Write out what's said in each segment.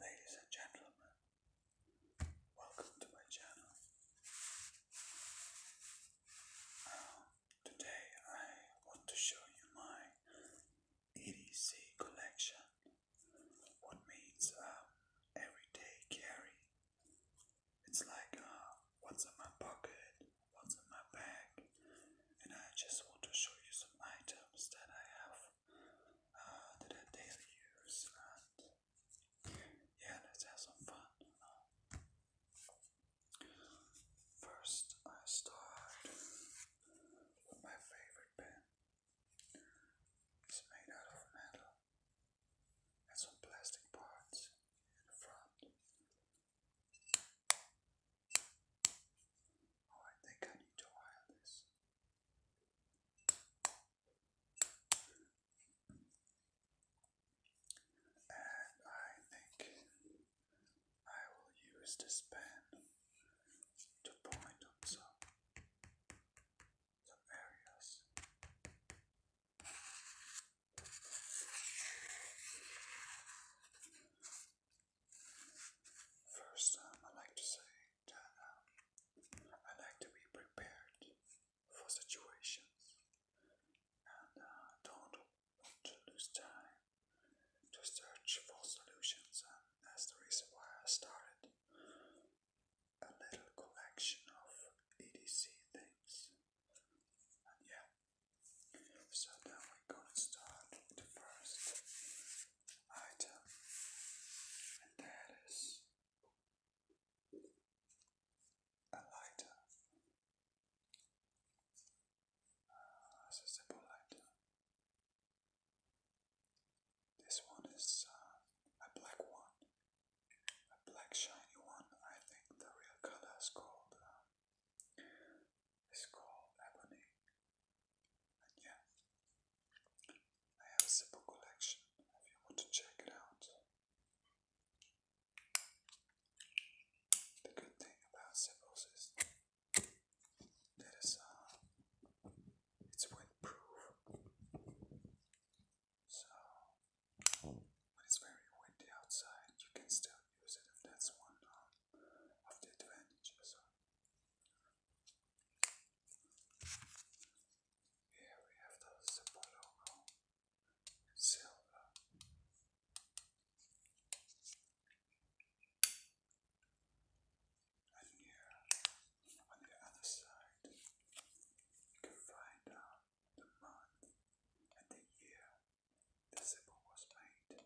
Ladies and gentlemen, welcome to my channel. Uh, today I want to show you my EDC collection, what means um, everyday carry. It's like uh, what's in my pocket, what's in my bag, and I just want to show you some items that I have uh, that I daily use. And yeah, let's have some fun. First, I start with my favorite pen. It's made out of metal and some plastic parts in Oh, I think I need to wire this. And I think I will use this pen to point on some, some areas. First, um, I like to say that um, I like to be prepared for situations and uh, don't want to lose time to search for solutions. And that's the reason why I started a little collection of EDC things yeah. So now we're gonna start the first item, and that is a lighter. Uh, a simple lighter. This one is uh, a black one, a black shiny one. I think the real color is called um, it's called ebony. And yeah, I have a simple collection if you want to check it out. The good thing about symbols is that it's uh, windproof. So when it's very windy outside, you can still use it, that's one um, of the advantages. Here we have the Zippo logo silver. And here on the other side, you can find out uh, the month and the year this symbol was made.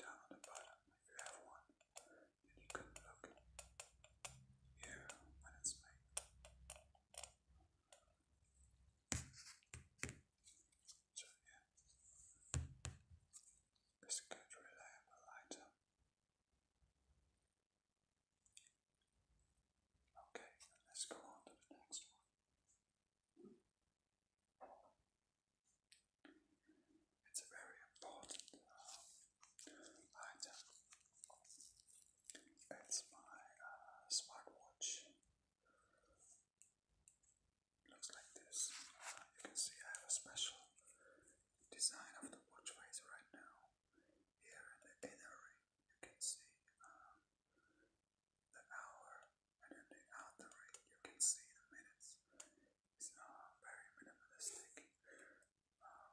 Down on the if you have one, then you can look here when it's made. So, yeah, it's a good reliable item. Okay, let's go on to the next one. It's a very important uh, item. It's my uh, smartwatch. Looks like this. you can see I have a special design of the watch face right now here in the inner ring, you can see um, the hour, and in the outer ring, you can see the minutes. It's uh, very minimalistic. Um,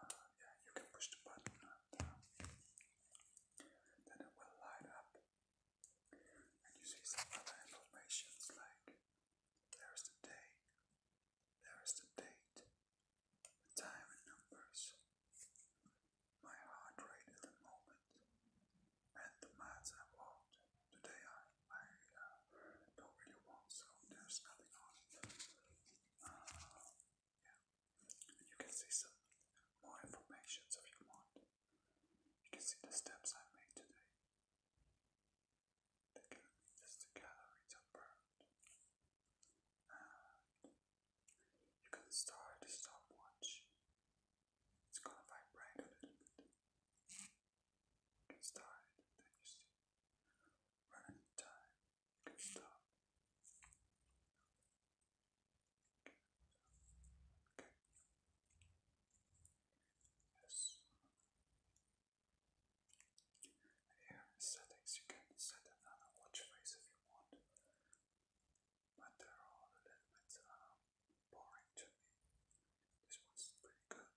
uh, yeah, you can push the button uh, then it will light up. And you see some other informations like there's the day, there is the date, the time in numbers, my heart rate at the moment, and the maths I want. Today I, I uh, don't really want, so there's nothing on it. Uh, yeah. you can see some more information if you want. You can see the steps I made today. The to calories are burned. you can start a stopwatch. It's gonna vibrate a little bit. You start it, then you time. stop. Here settings you can set another watch face if you want, but they're all a little boring to me. This one's pretty good.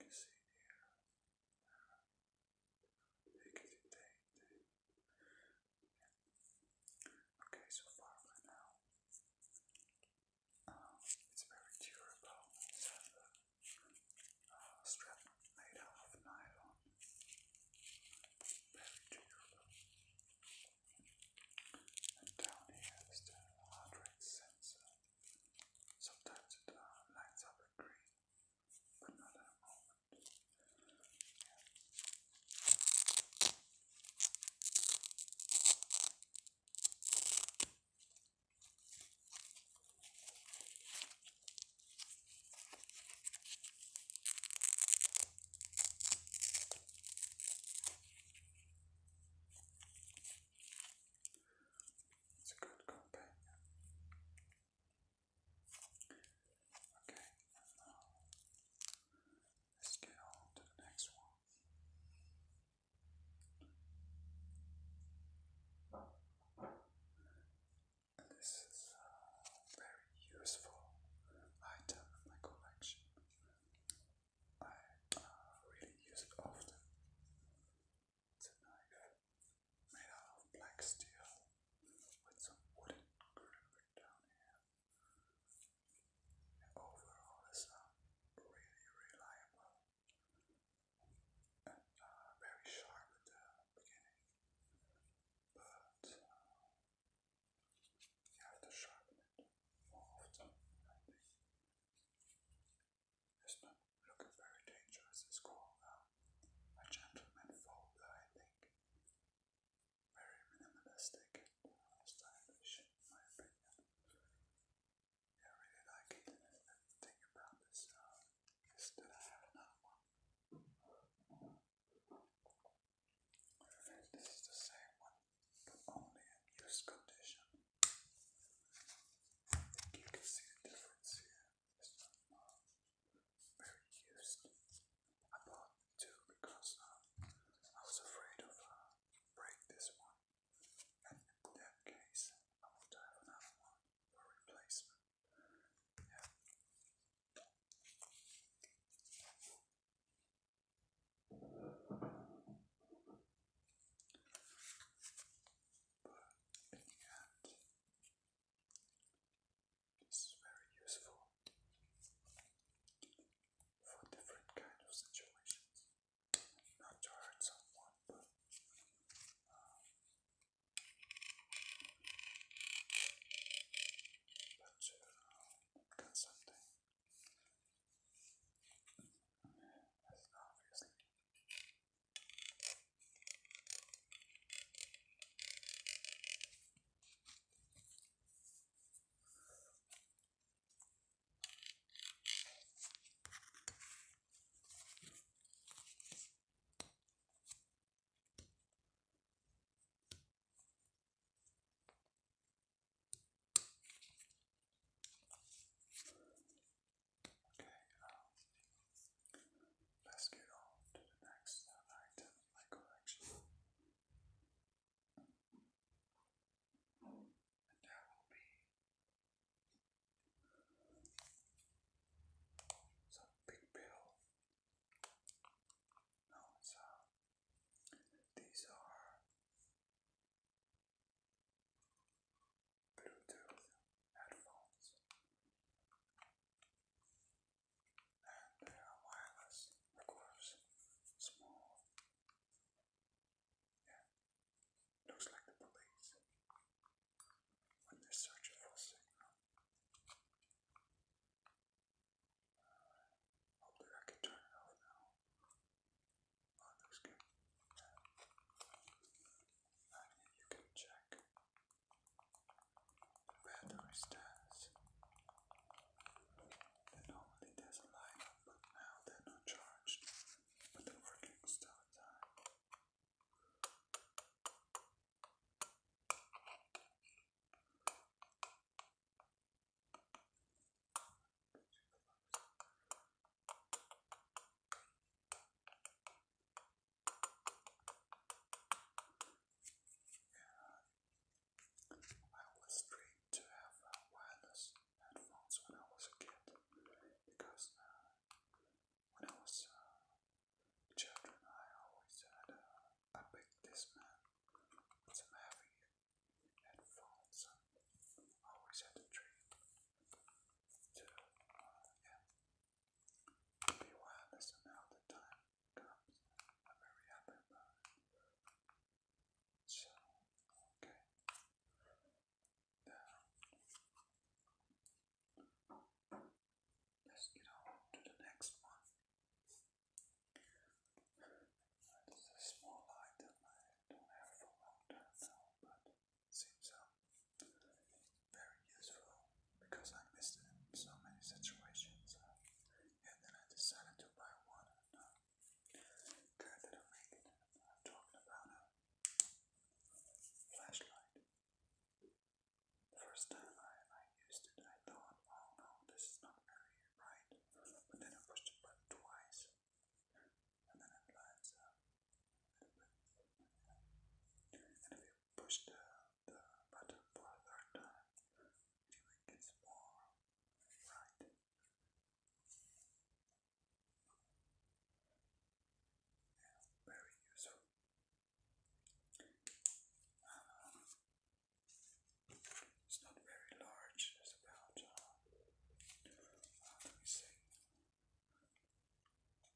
You see here, uh, Okay, so far now, um, it's very durable. It uh, made out of nylon. Very durable. And down here is the heart rate sensor. Sometimes it uh, lights up green, but not at a moment. It's a good companion. Okay, now let's get on to the next one. And this is a very useful item in my collection. I uh, really use it often. It's made out of black steel with some wooden grip down here. overall, it's a really reliable and very sharp at the beginning, but uh, you have to it's not looking very dangerous. It's called um, a gentleman folder, I think. Very minimalistic and uh, in my opinion. Yeah, I really like it. And about this uh, is that I have another one. This is the same one, but only in used condition. you can see the difference here. It's not uh, very used. I bought two because uh, I was afraid of uh, break this one and in that case, I want to have another one for replacement. Yeah. But in the end, this very useful for different kind of situations not to hurt someone, but um, to get something obviously. Okay, um, let's get on to the next item in my collection and there big pill. No, these are Bluetooth headphones and they are wireless, of course, small. Yeah. Looks like the police when they're searching hopefully I can turn it over now. Oh, good. you can check where the normally there's a lineup, but now they're not charged but they I was trained to have a wireless headphones when I was a kid because uh, when I was a uh, children, I always had uh, a big Discman with some heavy headphones. always had a dream to, yeah, be wireless, now the time comes. I'm very happy So, okay down. Let's get on to the next one. This a small item I don't have for long time now, but seems um, very useful because I missed it in so many situations. Uh, and then I decided to buy one Good, I'm talking about a flashlight. first time I, I used it, I thought, oh no, this is not very right. But then I pushed the button twice, and then it lights up And if you push the, the button for a third time, it gets more right. Yeah, very useful. it's not very large, it's about, let me see,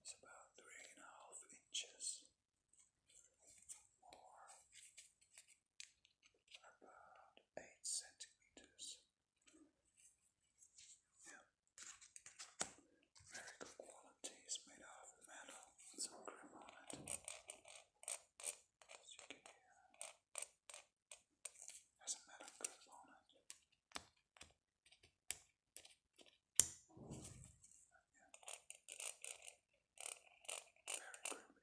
it's about three and a half inches or about eight centimeters. Yeah. Very good quality. It's made of metal some grip on it. As you can hear, it a metal grip on it. Yeah. Very grippy.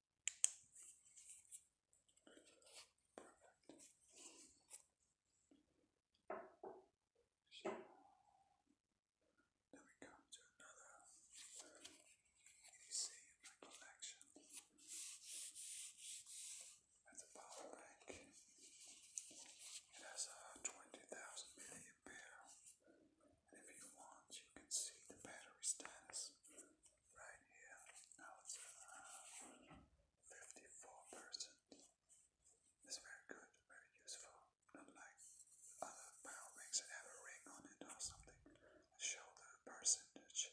So, then come to another EDC collection. That's a power bank. It has a 20,000 milliampere. if you want, you can see the battery status right here. Now it's 54%. Uh, it's very good, very useful. Not like other power banks that have a ring on it or something. Show the percentage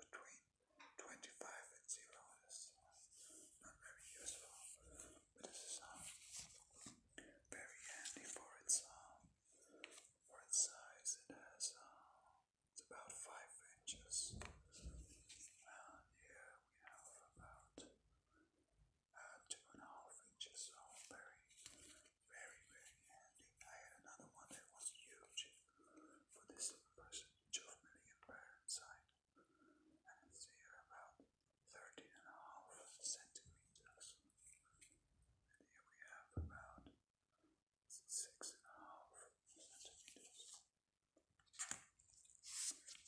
between 25 and 0. It's uh, not very useful, but this uh, very handy for its uh, for its size, it has uh, it's about five inches. And here we have about uh, two and a half inches. So very, very, very handy. I had another one that was huge for this person, two million pound side, and it's here about thirteen and a half centimeters. And here we have about six and a half centimeters.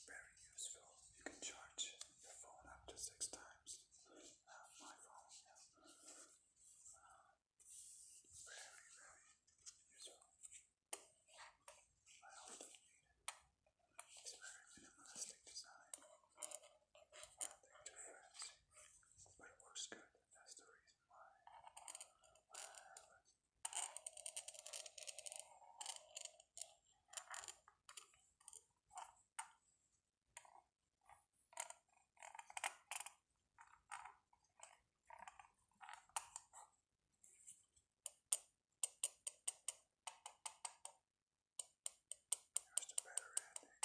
Very useful. You can charge your phone up to six times. Uh, my phone, uh, very, very useful. I often need it. It's very minimalistic design nothing to it, but it works good. That's the reason why. why I love it. Here's the better ending.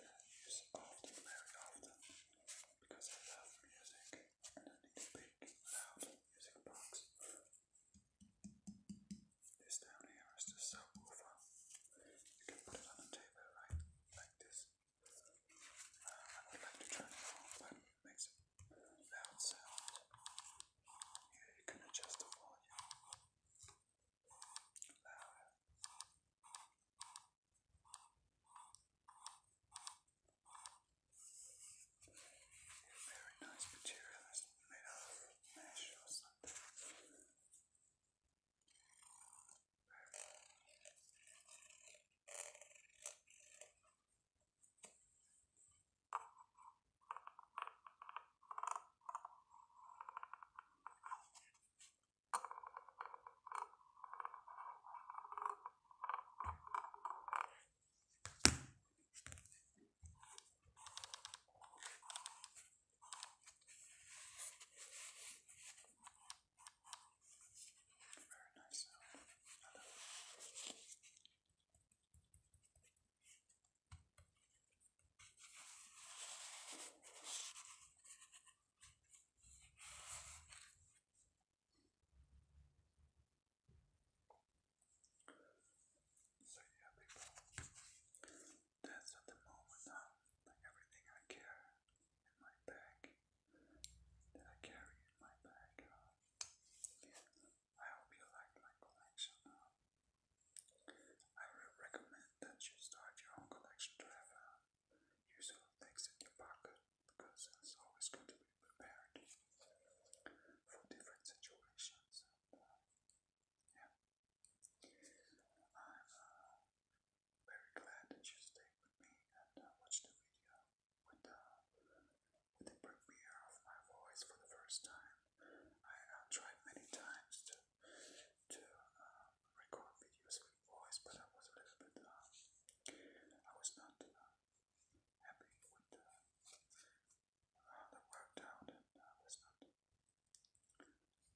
that is often very often because I love music and I need a big loud music box. This down here is the subwoofer. You can put it on a table right like this. I like to turn it on, but makes a loud sound. you can adjust the volume. Very nice material, it's made out of mesh or something. Very very nice sound. Hello. So yeah, people, that's at the moment now. Like everything I carry in my bag, that I carry in my bag. I hope you like my collection. Uh, I would recommend that you start your own collection to have a uh, useful things in your pocket because it's always good to be prepared for different situations. Uh, yeah. I'm uh, very glad that you stayed with me and watched the video with, uh, with the premiere of my voice for the first time. I tried many times to to uh, record videos with voice, but I was a little bit, um, I was not uh, happy with how uh, that worked out, and I was not,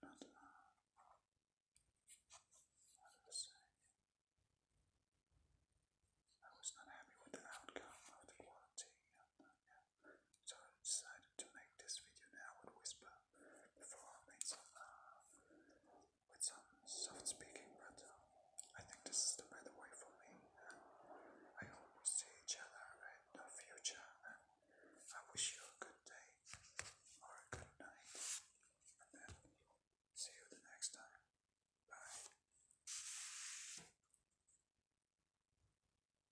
not, uh, I was not happy with the outcome of the quality, so I decided to make this video now with Whisper before I made some uh, with some soft speaking, uh, I think this is the better way for me. I hope we see each other in the future, I wish you a good day or a good night, and then see you the next time. Bye.